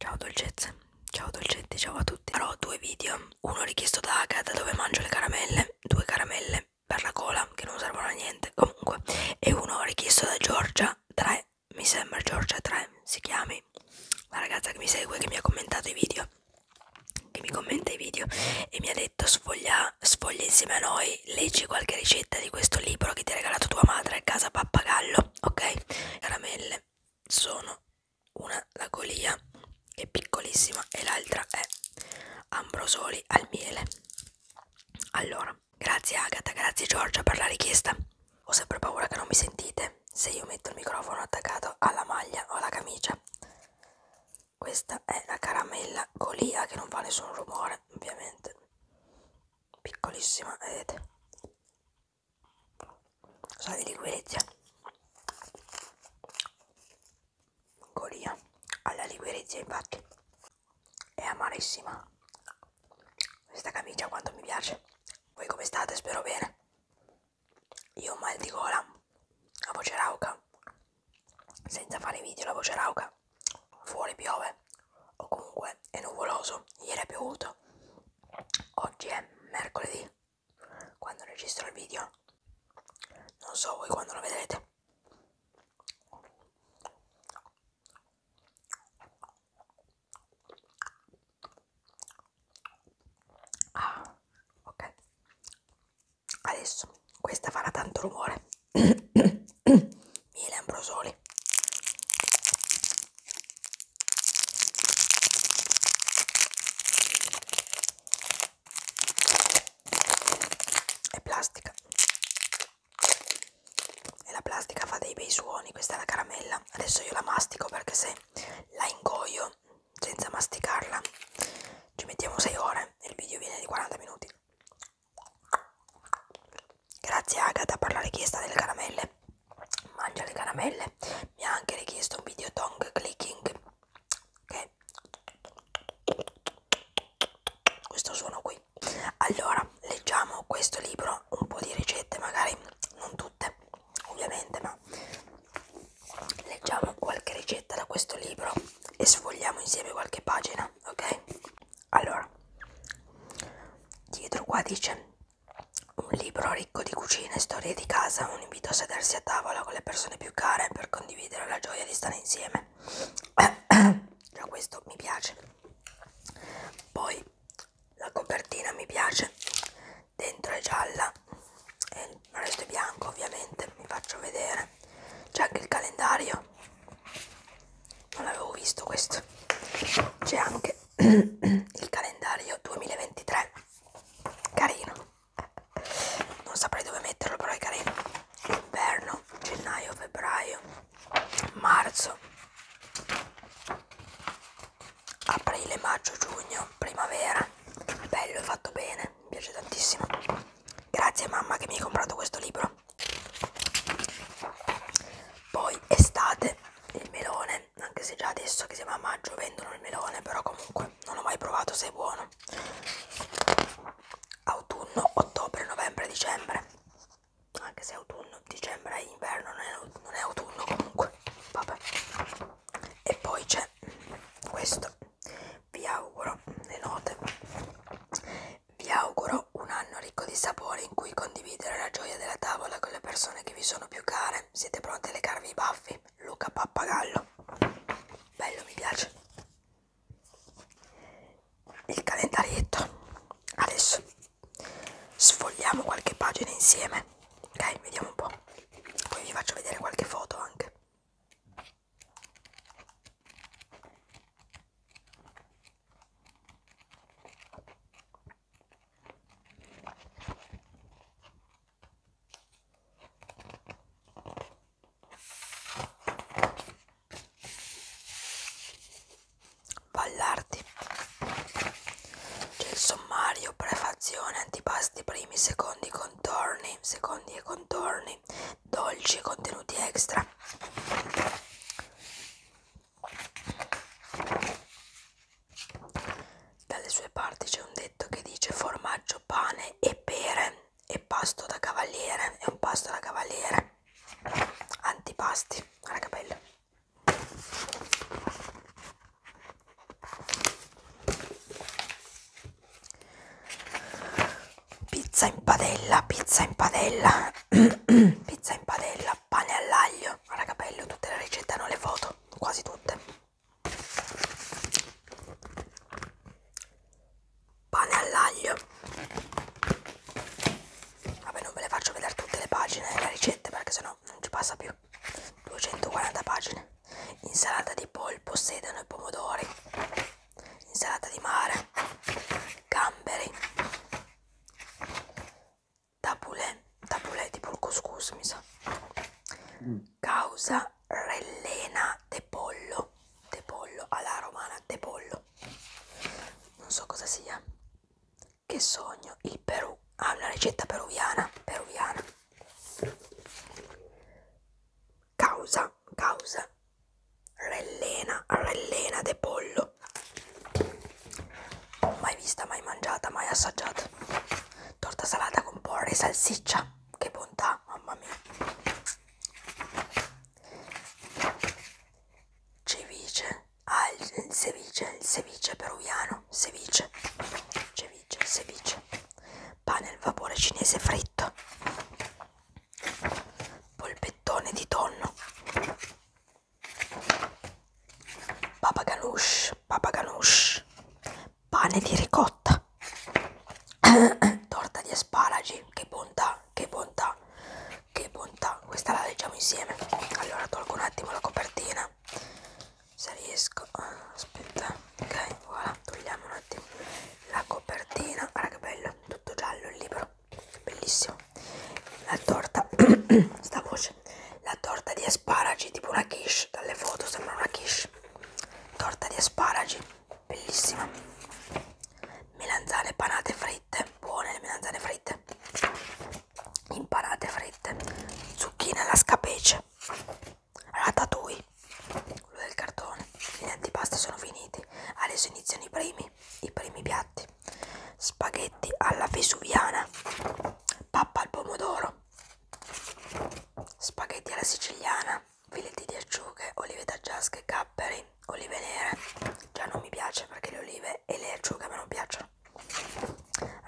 Ciao dolcezze, ciao dolcetti, ciao a tutti. Farò due video, uno richiesto da Agatha dove mangio le caramelle, due caramelle per la cola che non servono a niente comunque, e uno richiesto da Giorgia 3, mi sembra Giorgia 3 si chiami, la ragazza che mi segue, che mi ha commentato i video, che mi commenta i video e mi ha detto sfoglia, sfoglia insieme a noi, leggi qualche ricetta di questo libro che ti ha regalato tua madre a casa pappagallo, ok? Caramelle sono una la golia che è piccolissima e l'altra è ambrosoli al miele. Allora, grazie Agata, grazie Giorgia per la richiesta. Ho sempre paura che non mi sentite se io metto il microfono attaccato alla maglia o alla camicia. Questa è la caramella colia che non fa nessun rumore, ovviamente. Piccolissima, vedete? Sa di liquirizia. Colia alla liquirizia, infatti. È amarissima. Questa camicia quanto mi piace. Voi come state? Spero bene io ho mal di gola, la voce rauca, senza fare video la voce rauca, fuori piove o comunque è nuvoloso, ieri è piovuto, oggi è mercoledì quando registro il video, non so voi quando lo vedrete. Ah, ok. Adesso questa farà tanto rumore. Miele ambrosoli. È plastica. E la plastica fa dei bei suoni, questa è la caramella. Adesso io la mastico perché se bene, la ingoio senza masticarla, ci mettiamo 6 ore e il video viene di 40 minuti. Grazie Agata per la richiesta delle caramelle, mangia le caramelle, mi ha anche richiesto un video tongue clicking, che questo suono qui. Allora, leggiamo questo libro, un po' di ricette magari non tutte tutte ovviamente ma leggiamo qualche ricetta da questo libro e sfogliamo insieme qualche pagina ok allora dietro qua dice un libro ricco di cucina e storie di casa un invito a sedersi a tavola con le persone più care per condividere la gioia di stare insieme già questo mi piace poi la copertina mi piace dentro è gialla e il resto è bianco ovviamente vi faccio vedere c'è anche il calendario non l'avevo visto questo c'è anche il calendario 2023 carino non saprei dove metterlo però è carino inverno gennaio febbraio marzo aprile maggio giugno primavera bello è fatto bene mi piace tantissimo grazie mamma che mi hai comprato questo libro poi estate il melone anche se già adesso che siamo a maggio vendono il melone però comunque non ho mai provato se è buono autunno ottobre novembre dicembre anche se è autunno, dicembre è inverno, non è, non è autunno comunque, vabbè. E poi c'è questo, vi auguro le note, vi auguro un anno ricco di sapore in cui condividere la gioia della tavola con le persone che vi sono più care, siete pronti a legarvi i baffi, Luca Pappagallo, bello mi piace il calendarietto adesso sfogliamo qualche pagina insieme ok vediamo un po poi vi faccio vedere qualche foto anche Vallardi c'è il sommario, prefazione, antipasti primi, secondi, contorni, secondi e contorni, dolci e contenuti extra. Dalle sue parti c'è un detto che dice formaggio, pane e pere e pasto da cavaliere, è un pasto da cavaliere antipasti guarda che bello pizza in padella pizza in padella pizza in padella pane all'aglio guarda che bello tutte le ricette hanno le foto quasi tutte pane all'aglio Vabbè, non ve le faccio vedere tutte le pagine della eh, ricetta perché sennò non ci passa più. 240 pagine. Insalata di polpo, sedano e pomodori. Insalata di mare. Gamberi. Tabulè. Tabulè tipo il couscous, mi sa. Mm. Causa rellena de pollo. De pollo alla romana, de pollo non so cosa sia che sogno il Perù ha ah, una ricetta peruviana peruviana causa causa rellena rellena de pollo mai vista mai mangiata mai assaggiata torta salata con porre e salsiccia che bontà mamma mia ceviche, ah il, il ceviche, il ceviche peruviano, ceviche, ceviche, ceviche, pane al vapore cinese fritto, polpettone di tonno, papa ganoush, papa ganoush, pane di ricotta, torta di asparagi, che bontà, che bontà, che bontà questa la leggiamo insieme allora tolgo un attimo la copertina se riesco ah, aspetta ok voilà togliamo un attimo la copertina guarda che bello tutto giallo il libro bellissimo la torta sta voce la torta di asparagi tipo una quiche dalle foto sembra una quiche torta di asparagi bellissima melanzane panate fritte buone le melanzane fritte impanate fritte zucchine alla scapece ratatouille quello del cartone gli antipasti sono finiti adesso iniziano i primi i primi piatti spaghetti alla vesuviana pappa al pomodoro spaghetti alla siciliana filetti di acciughe, olive taggiasche, capperi, olive nere, già non mi piace perché le olive e le acciughe a me non piacciono,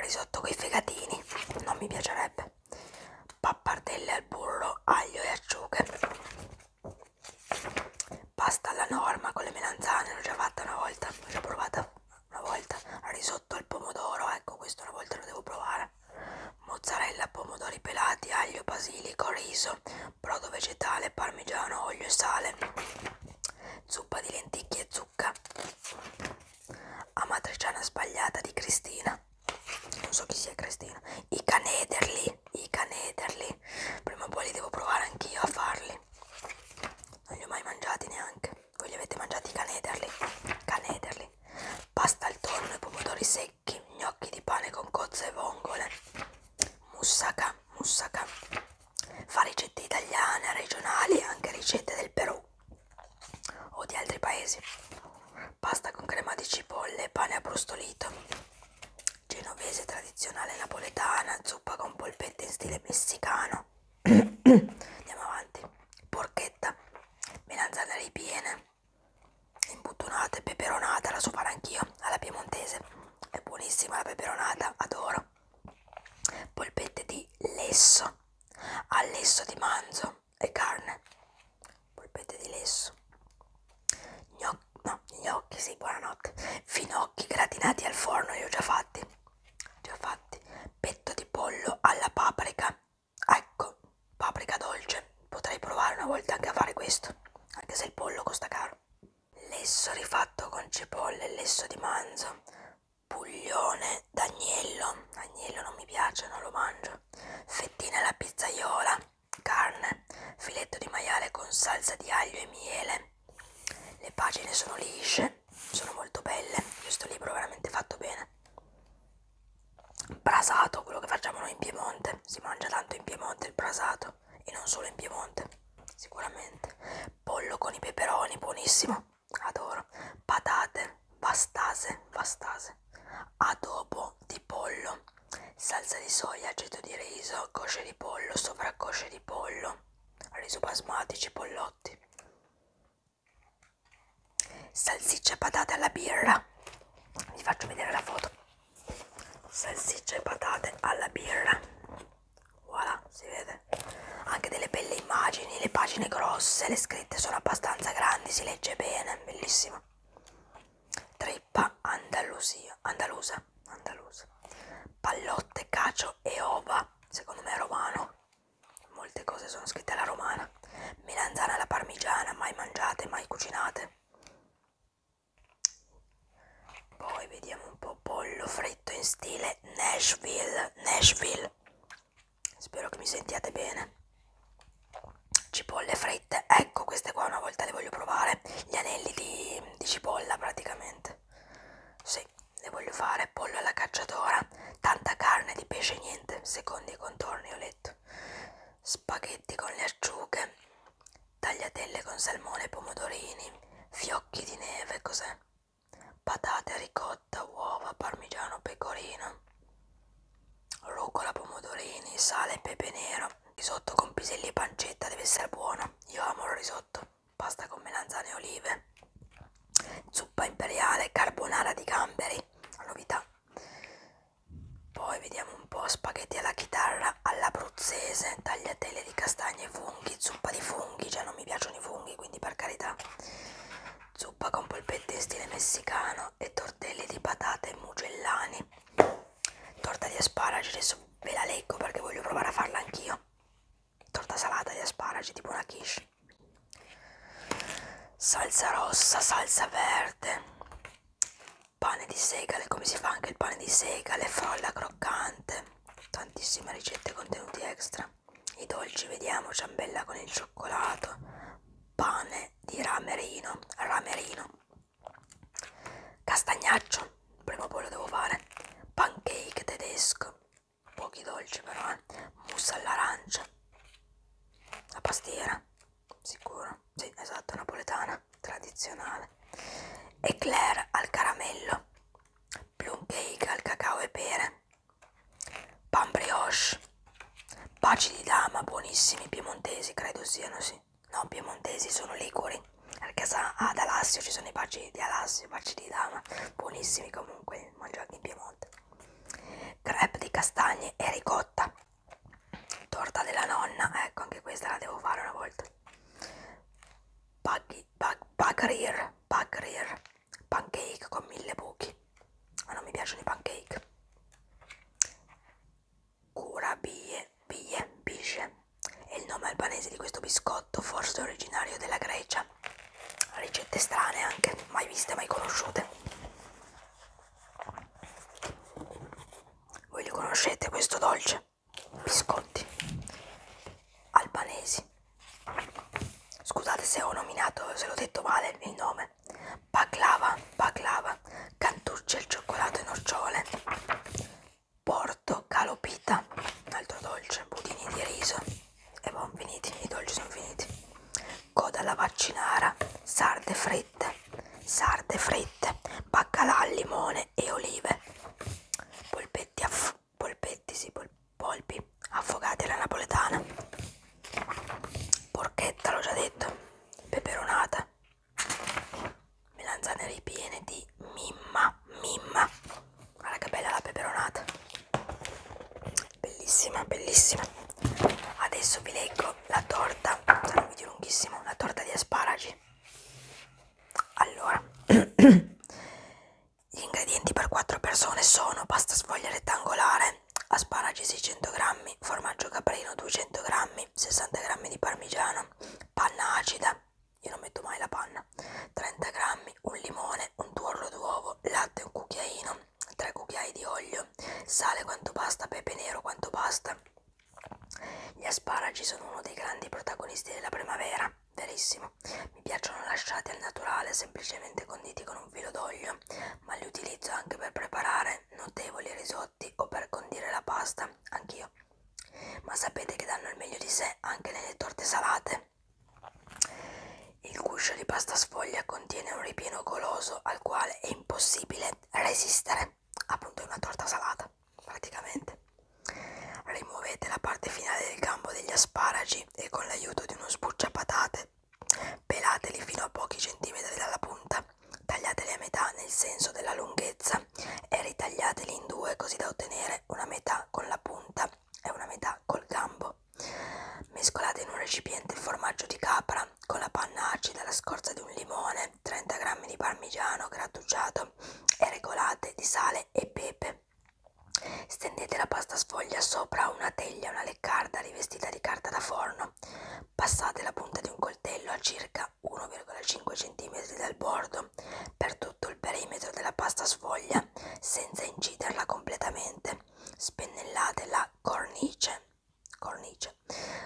risotto coi fegatini, non mi piacerebbe, pappardelle al burro, aglio e acciughe, pasta alla norma con le melanzane, l'ho già fatta una volta, l'ho già provata una volta, risotto al pomodoro, ecco questo una volta lo devo provare, mozzarella, pomodori pelati, aglio, basilico, riso, brodo vegetale, parmigiano, olio e sale, zuppa di lenticchie e zucca, amatriciana sbagliata di Cristina, non so chi sia Cristina, i canederli, i canederli, prima o poi li devo provare anch'io a farli, non li ho mai mangiati neanche, voi li avete mangiati i canederli, canederli, pasta al tonno e pomodori secchi gnocchi, gnocchi di pane con cozze e vongole, moussaka, moussaka, fa ricette italiane, regionali, anche ricette del Perù o di altri paesi, pasta con crema di cipolle, pane abbrustolito, genovese tradizionale napoletana, zuppa con polpette in stile messicano, andiamo avanti, porchetta, melanzane ripiene, imbuttonata e peperonata, la so fare anch'io alla piemontese, è buonissima la peperonata, adoro. Polpette di lesso, al lesso di manzo e carne, polpette di lesso, gnocchi, no, gnocchi sì, buonanotte, finocchi gratinati al forno, li ho già fatti, già fatti, petto di pollo alla paprika Ecco, paprika dolce. Potrei provare una volta anche a fare questo, anche se il pollo costa caro. Lesso rifatto con cipolle, lesso di manzo, puglione d'agnello. Agnello non mi piace, non lo mangio. Fettine alla pizzaiola, carne, filetto di maiale con salsa di aglio e miele. Le pagine sono lisce, sono molto belle. Questo libro è veramente fatto bene brasato, quello che facciamo noi in Piemonte, si mangia tanto in Piemonte il brasato e non solo in Piemonte, sicuramente. Pollo con i peperoni, buonissimo, adoro. Patate, bastase, bastase. Adobo di pollo, salsa di soia, aceto di riso, cosce di pollo, sovraccosce di pollo, riso basmati, cipollotti salsiccia patate alla birra vi faccio vedere la foto salsiccia e patate alla birra voilà si vede anche delle belle immagini le pagine grosse le scritte sono abbastanza grandi si legge bene bellissima trippa andalusia andalusa andalusa pallotte cacio e ova secondo me è romano molte cose sono scritte alla romana parmigiana. Melanzane alla parmigiana, mai mangiate, mai cucinate. Poi vediamo un po' pollo fritto in stile Nashville, Nashville. Spero che mi sentiate bene. Cipolle fritte, ecco queste qua una volta le voglio provare. Gli anelli di, di cipolla praticamente. Sì, le voglio fare pollo alla cacciatora. Tanta carne di pesce niente, secondo i contorni ho letto. Night, spaghetti con le acciughe, tagliatelle con salmone e pomodorini, fiocchi di neve, cos'è? Patate, ricotta, uova, parmigiano, pecorino, rucola, pomodorini, sale e pepe nero, risotto con piselli e pancetta, deve essere buono, io amo il risotto, pasta con melanzane e olive, zuppa imperiale, carbonara di gamberi, la novità. Poi vediamo un po' spaghetti alla chitarra all'abruzzese, tagliatelle di castagne e funghi, zuppa di funghi, già cioè non mi piacciono i funghi, quindi per carità. Zuppa con polpette in stile messicano e tortelli di patate e mugellani. Torta di asparagi, adesso ve la leggo perché voglio provare a farla anch'io. Torta salata di asparagi, tipo una quiche salsa rossa, salsa verde, pane di segale, come si fa anche il pane di segale, frolla croccante, tantissime ricette e contenuti extra, i dolci vediamo, ciambella con il cioccolato, pane di ramerino, ramerino, castagnaccio, prima o poi lo devo fare, pancake tedesco, pochi dolci però eh. mousse all'arancia la pastiera sicuro sì esatto napoletana tradizionale eclair al caramello plum cake al cacao e pere pan brioche baci di dama buonissimi piemontesi credo siano sì no piemontesi sono licori perché sa ad Alassio ci sono i baci di Alassio i baci di dama buonissimi comunque mangiati in Piemonte crepe di castagne e ricotta torta della nonna ecco anche questa la devo fare una volta Baghi, bag, bagrir, bagrir pancake con mille buchi ma non mi piacciono i pancake cura bie bie bisce è il nome albanese di questo biscotto forse originario della Grecia ricette strane anche, mai viste, mai conosciute. Voi li conoscete questo dolce? Biscotti albanesi. Scusate se ho nominato, se l'ho detto male il nome. Baklava, baklava, cantucce al cioccolato e nocciole. Porto calopita, un altro dolce, budini di riso e buon finiti, i dolci sono finiti. Coda alla vaccinara, sarde fritte, sarde fritte, baccalà al limone e olive, polpetti, polpetti sì, pol polpi affogati alla napoletana, porchetta l'ho già detto, peperonata, melanzane ripiene di mimma, mimma, guarda che bella la peperonata bellissima bellissima adesso vi leggo la torta sarà un video lunghissimo la torta di asparagi allora gli ingredienti per 4 persone sono pasta sfoglia rettangolare asparagi 600 g formaggio caprino 200 g 60 g di parmigiano panna acida io non metto mai la panna banana 30 g, un limone, un tuorlo d'uovo, latte un cucchiaino, 3 cucchiai di olio, sale quanto basta, pepe nero quanto basta. Gli asparagi sono uno dei grandi protagonisti della primavera, verissimo. Mi piacciono lasciati al naturale, semplicemente conditi con un filo d'olio, ma li utilizzo anche per preparare notevoli risotti o per condire la pasta, anch'io. Ma sapete che danno il meglio di sé anche nelle torte salate? salse. Il guscio di pasta sfoglia contiene un ripieno goloso al quale è impossibile resistere. Appunto è una torta salata, praticamente. Rimuovete la parte finale del gambo degli asparagi e con l'aiuto di uno sbucciapatate pelateli fino a pochi centimetri dalla punta, tagliateli a metà nel senso della lunghezza e ritagliateli in due così da ottenere una metà con la punta è una metà col gambo. Mescolate in un recipiente il formaggio di capra con la panna acida, la scorza di un limone, 30 g di parmigiano grattugiato e regolate di sale e pepe. Stendete la pasta sfoglia sopra una teglia, una leccarda rivestita di carta da forno. Passate la punta di un coltello a circa 1,5 cm dal bordo per tutto il perimetro della pasta sfoglia senza inciderla completamente. Spennellate la cornice, cornice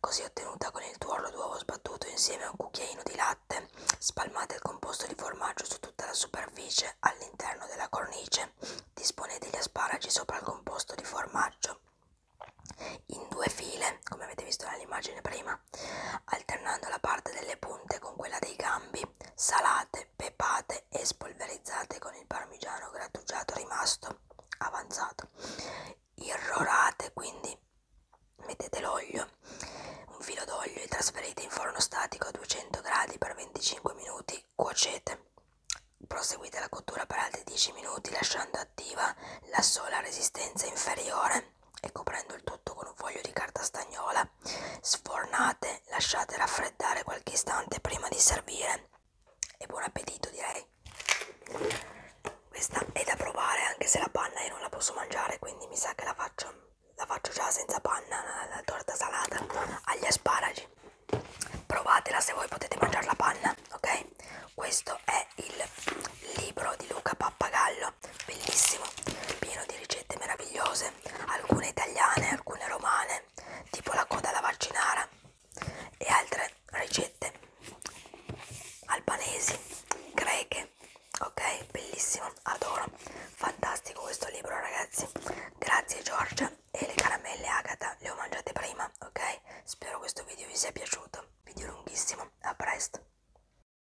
così ottenuta con il tuorlo d'uovo sbattuto insieme a un cucchiaino di latte. Spalmate il composto di formaggio su tutta la superficie all'interno della cornice. Disponete gli asparagi sopra il composto di formaggio in due file, come avete visto nell'immagine prima cucina, alternando la parte delle punte con quella dei gambi, salate, pepate e spolverizzate con il parmigiano grattugiato rimasto avanzato. Irrorate quindi, mettete l'olio, un filo d'olio e trasferite in forno statico a 200 gradi per 25 minuti, cuocete. Proseguite la cottura per altri 10 minuti lasciando attiva la sola resistenza inferiore e coprendo il tutto con un foglio di carta stagnola. Sfornate, lasciate raffreddare qualche istante prima di servire. E buon appetito, direi. Questa è da provare anche se la panna io non la posso mangiare, quindi mi sa che la faccio, la faccio già senza panna, la torta salata agli asparagi. Provatela se voi potete mangiare la panna, ok? Questo è il libro di Luca Pappagallo libro bellissimo, pieno di ricette meravigliose, alcune italiane, alcune romane, tipo la coda alla vaccinara e altre ricette albanesi, greche, ok? Bellissimo, adoro, fantastico questo libro ragazzi, grazie Giorgia e le caramelle Agata le ho mangiate prima, ok? Spero questo video vi sia piaciuto, video lunghissimo, a presto!